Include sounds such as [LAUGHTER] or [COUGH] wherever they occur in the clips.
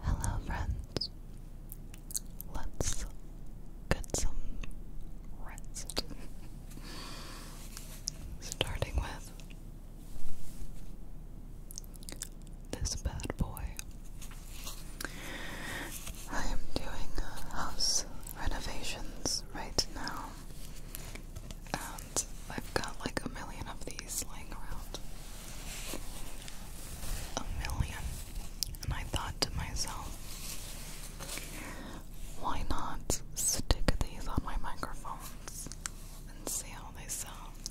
Hello, friends. Let's get some rest. [LAUGHS] Starting with this bad boy. I am doing house renovations right now and I've got like a million of these laying around. A million. And I thought to myself, why not stick these on my microphones and see how they sound?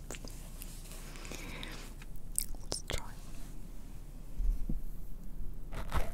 Let's try.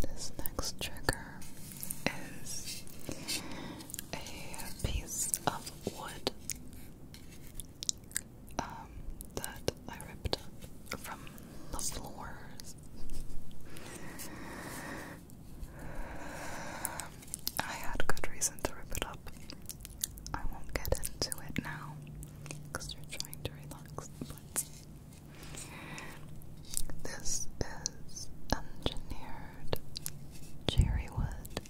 This next trigger is a piece of wood um, that I ripped up from the floors. I had good reason to rip it up. I won't get into it now because you're trying to relax, this is engineered cherry wood.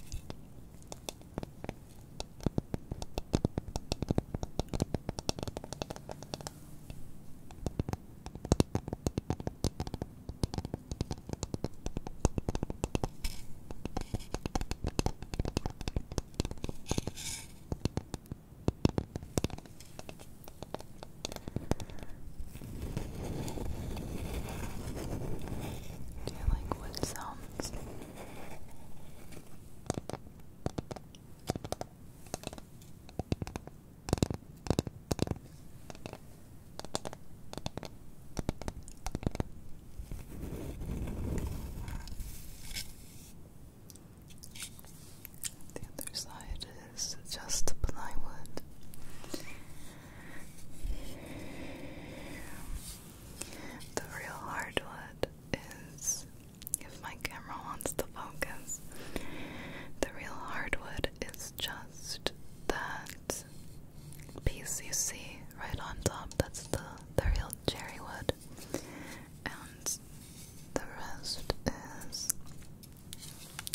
Do you like wood sounds? The other side is just plywood. The real hardwood is, if my camera wants to focus, the real hardwood is just that piece you see right on top. That's the the real cherry wood, and the rest is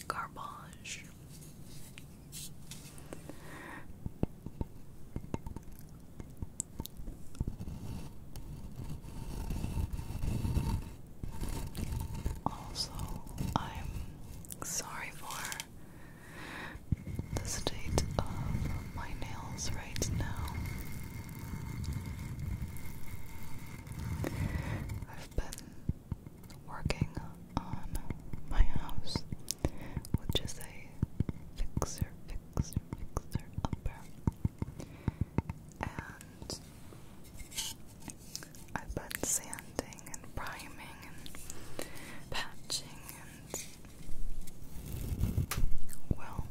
garbage. Also, I'm sorry for the state of my nails right now. I've been working on my house which is a fixer, upper. And I've been sanding and priming and patching and well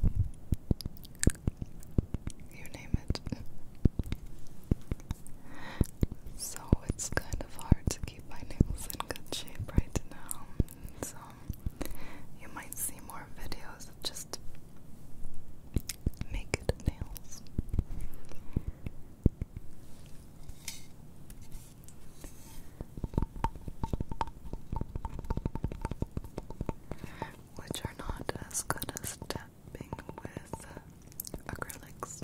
you name it. so it's kind of hard to keep my nails in good shape right now. So you might see more videos of just naked nails which are not as good as tapping with uh, acrylics.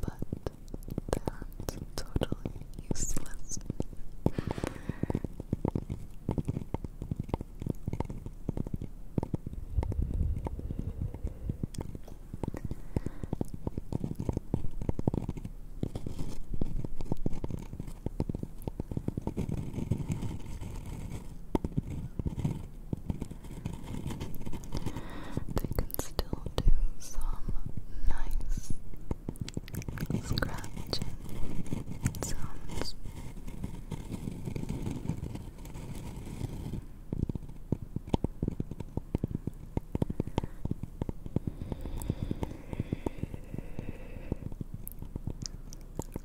But that's totally useless. They can still do some nice scratching sounds. What did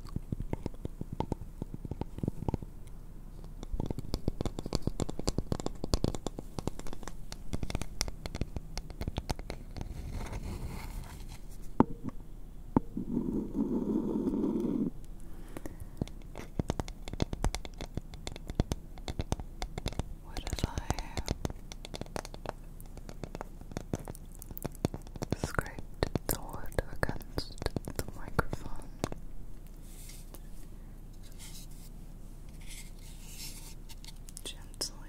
I scraped the wood against the microphone. Gently.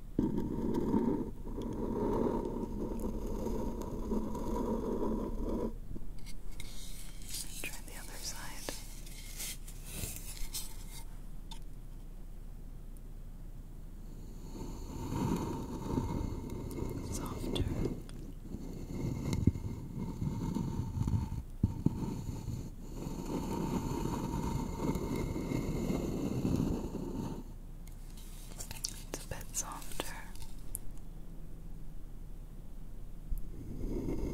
Try the other side. Softer. It's a bit softer. It's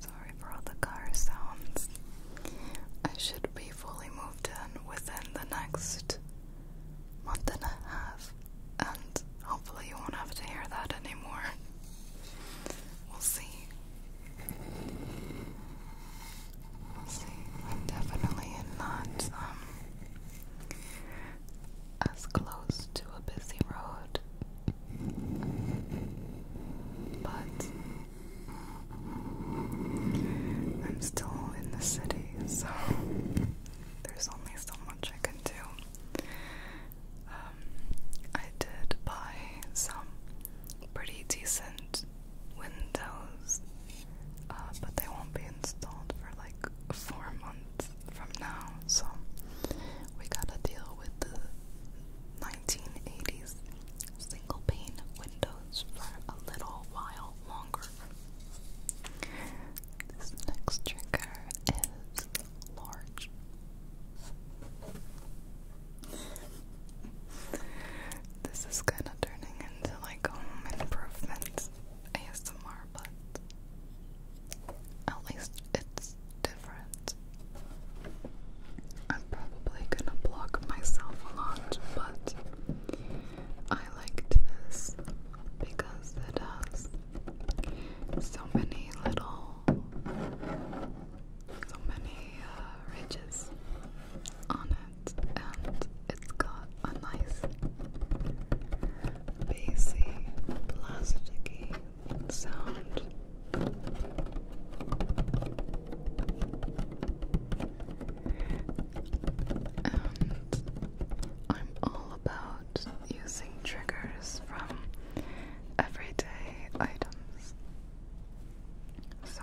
Sorry for all the car sounds. I should be fully moved in within the next month and a half, and hopefully, you won't have to hear that anymore. We'll see definitely not um, as close to a busy road. But mm, I'm still in the city, so there's only so much I can do. Um, I did buy some pretty decent windows uh, but they won't be installed for like four months from now, so we gotta deal with the 1980s single pane windows for a little while longer. This next trigger is large. This is kind of turning into like home improvements. ASMR, but at least it's different. I'm probably gonna block myself a lot, but I liked this because it has so many little, so many uh, ridges on it and it's got a nice bassy, plasticky sound. And I'm all about using triggers from everyday items. So,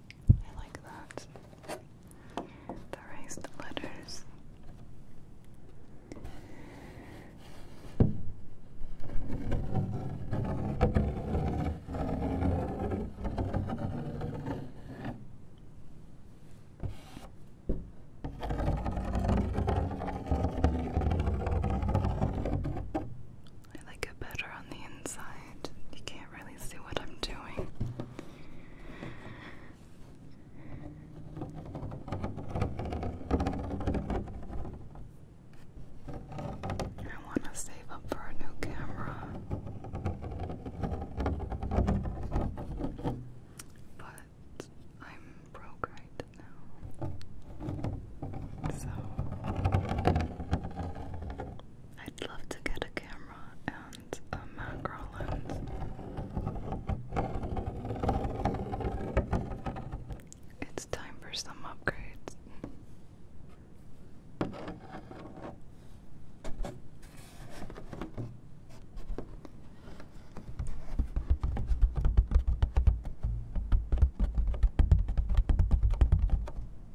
I like that. The raised letters. I like it better on the inside. You can't really see what I'm doing. I want to save up for a new camera, but I'm broke right now. So I'd love to get a camera and a macro lens. It's time for some upgrades.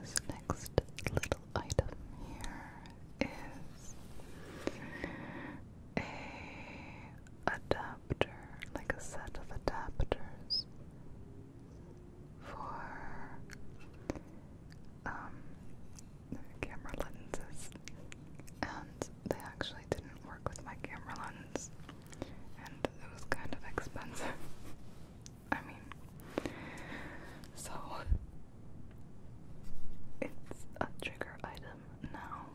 This next little item here is a adapter, like a set of adapters for um, camera lenses, and they actually didn't work with my camera lens, and it was kind of expensive. [LAUGHS] I mean, so it's a trigger item now.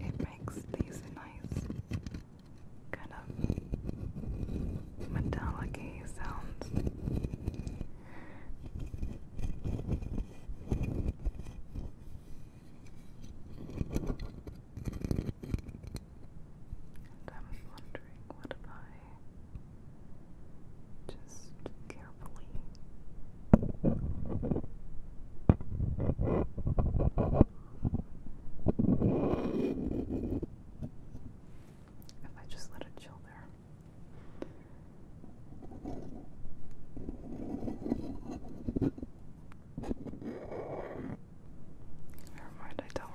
It makes these nice kind of metallic sounds. And I'm wondering what if I just carefully if I just let it chill there. Never mind, I don't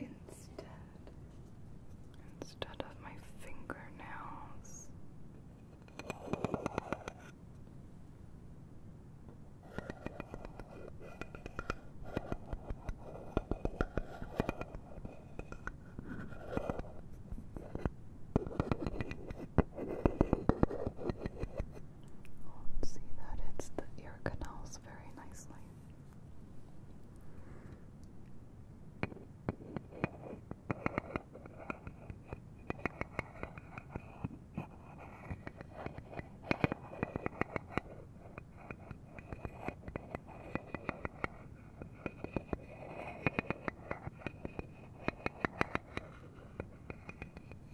Instead, instead of my fingernails, see that it's the ear canals very nicely.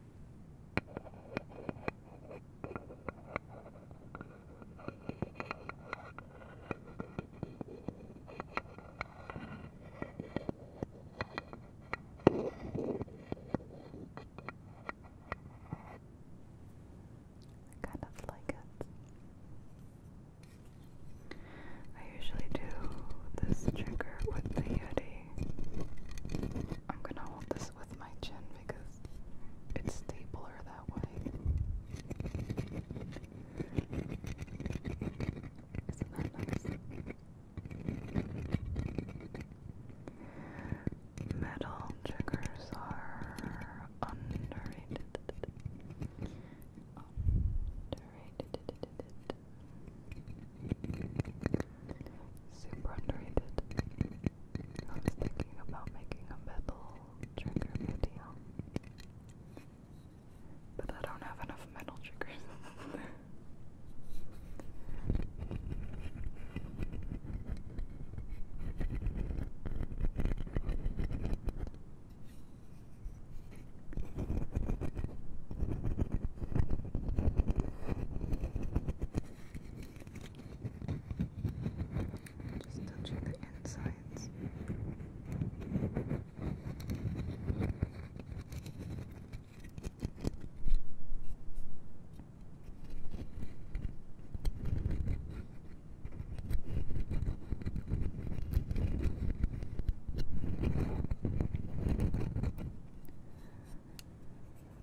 I kind of like it. I usually do this trigger with the Yeti. I'm gonna hold this with my chin because it's stapler that way. Metal triggers are underrated. Underrated. Super underrated. I was thinking about making a metal trigger video. But I don't have enough metal triggers. [LAUGHS] Just touching the insides.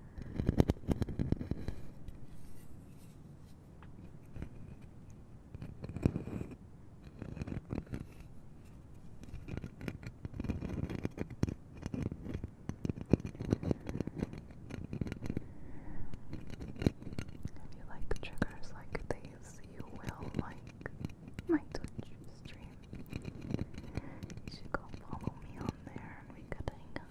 If you like triggers like these, you will like my Twitch stream. You should go me on there and we could hang out.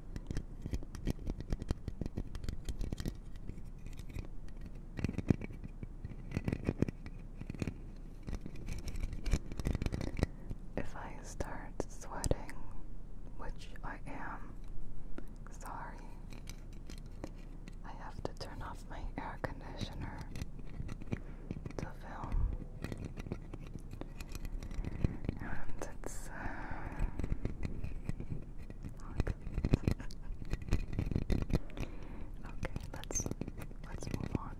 If I start sweating, which I am, sorry, I have to turn off my air conditioner to film. And it's uh, okay, let's let's move on.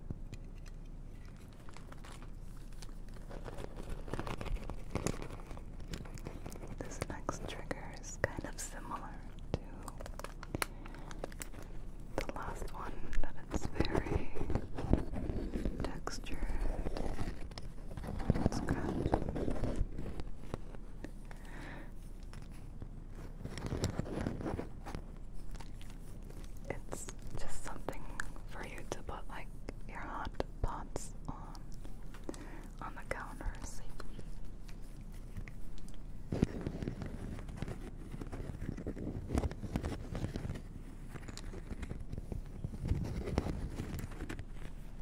This next trigger is kind of similar to the last one, but it's very [LAUGHS] textured Scratch. It's just something for you to put like your hot pots on on the counter safely.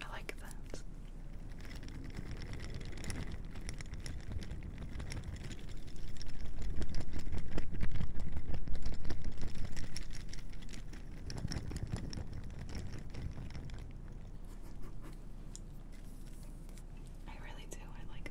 I like that. I really do, I like that.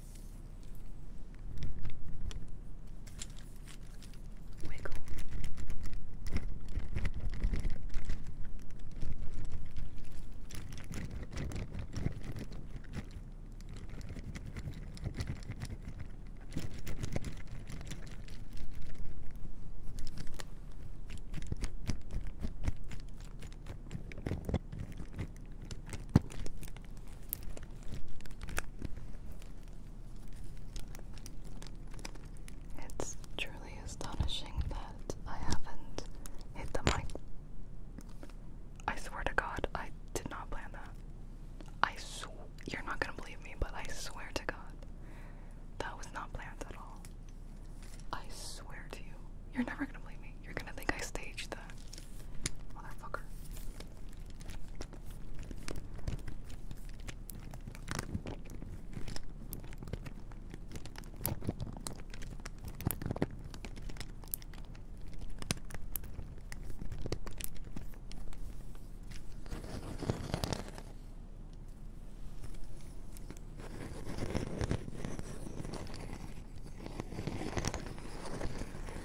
Wiggle. It's truly astonishing that I haven't hit the mic. I swear to God, I did not plan that. I you're not gonna believe me, but I swear to God, that was not planned at all. I swear to you, you're never gonna believe me. You're gonna think I staged that. Motherfucker.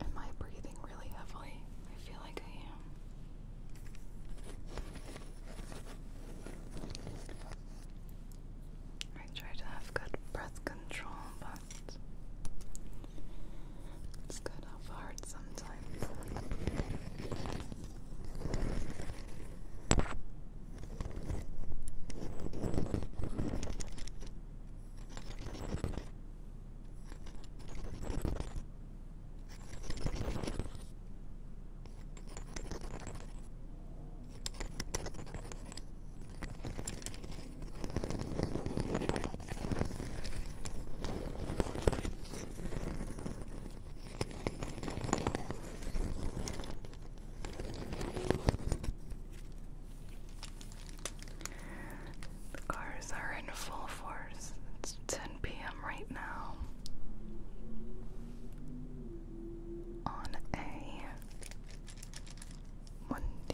Am I breathing really heavily? I feel like I am. I try to have good breath control, but it's good how hard sometimes. The cars are in full force. It's 10 p.m. right now on a Monday.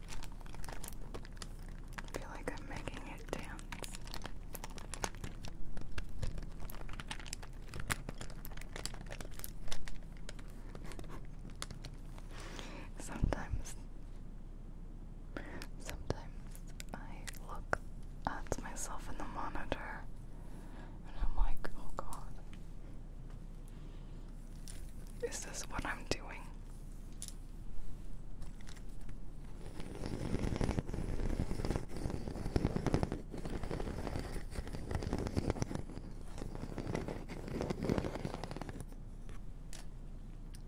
I feel like I'm making it dance. sometimes, sometimes I look at myself in the monitor and I'm like, oh god. Is this what I'm doing?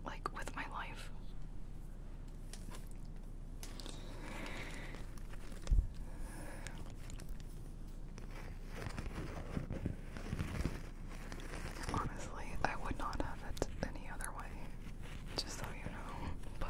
Like with my life. Honestly, I would not have it any other way, just so you know, but.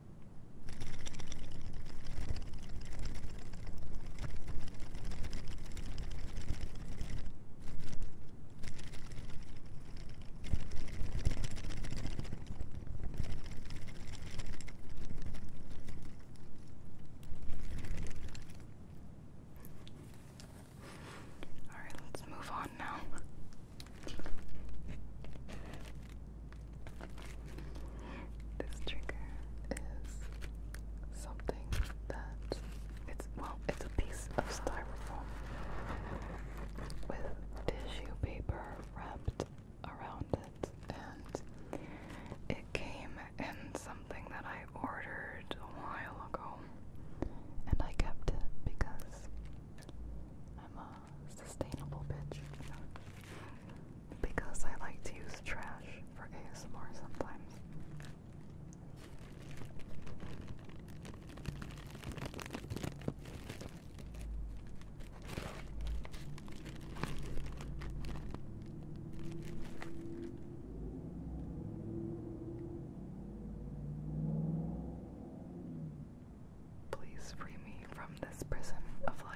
All right, let's move on now. This trigger is something that it's well, it's a piece of styrofoam with tissue paper wrapped around it, and it came in something that I ordered a while ago, and I kept it because I'm a sustainable bitch because I like to use trash for ASMR sometimes. Please free me from this prison of life.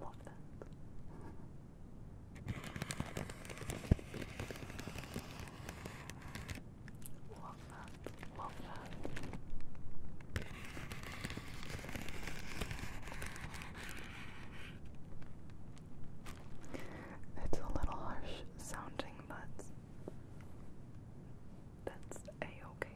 Love that. Love that. Love that. It's a little harsh sounding, but that's a okay.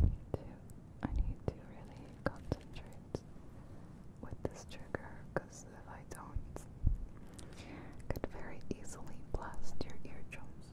I need to I need to really concentrate with this trigger because if I don't I could very easily blast your eardrums.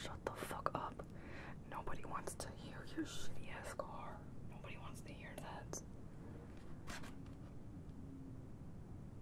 shut the fuck up. Nobody wants to hear your shitty ass car. Nobody wants to hear that.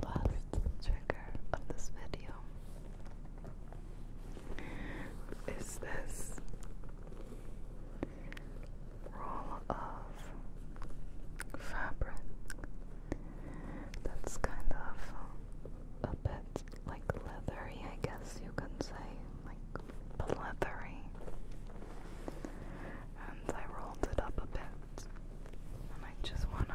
Last trigger of this video is this roll of fabric that's kind of a bit like leathery, I guess you can say, like leathery. And I rolled it up a bit, and I just wanna.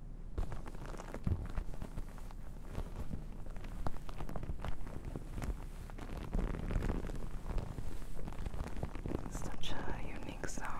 Such a unique sound.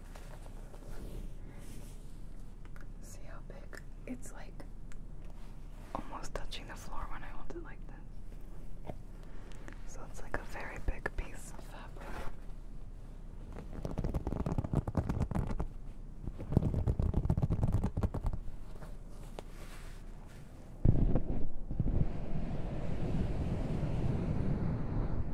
See how big? It's like almost touching the floor when I hold it like this. So it's like a very big piece of fabric.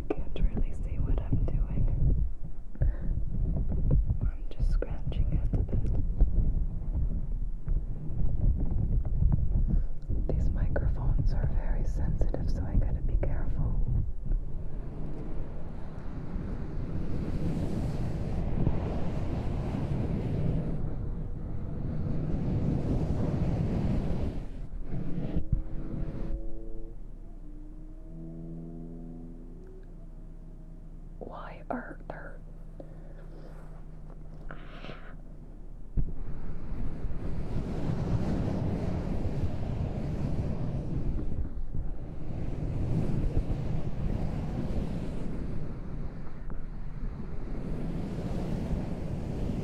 You can't really see what I'm doing. I'm just scratching at These microphones are very sensitive, so I gotta be careful. Why are there?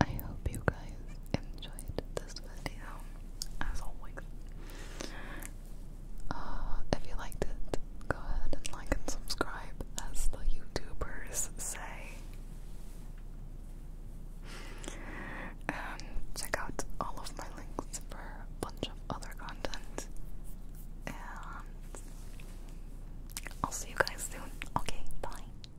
I hope you guys enjoyed this video, as always. Uh, if you liked it, go ahead and like and subscribe, as the YouTubers say. Um, check out all of my links for a bunch of other content. And I'll see you guys soon. Okay, bye.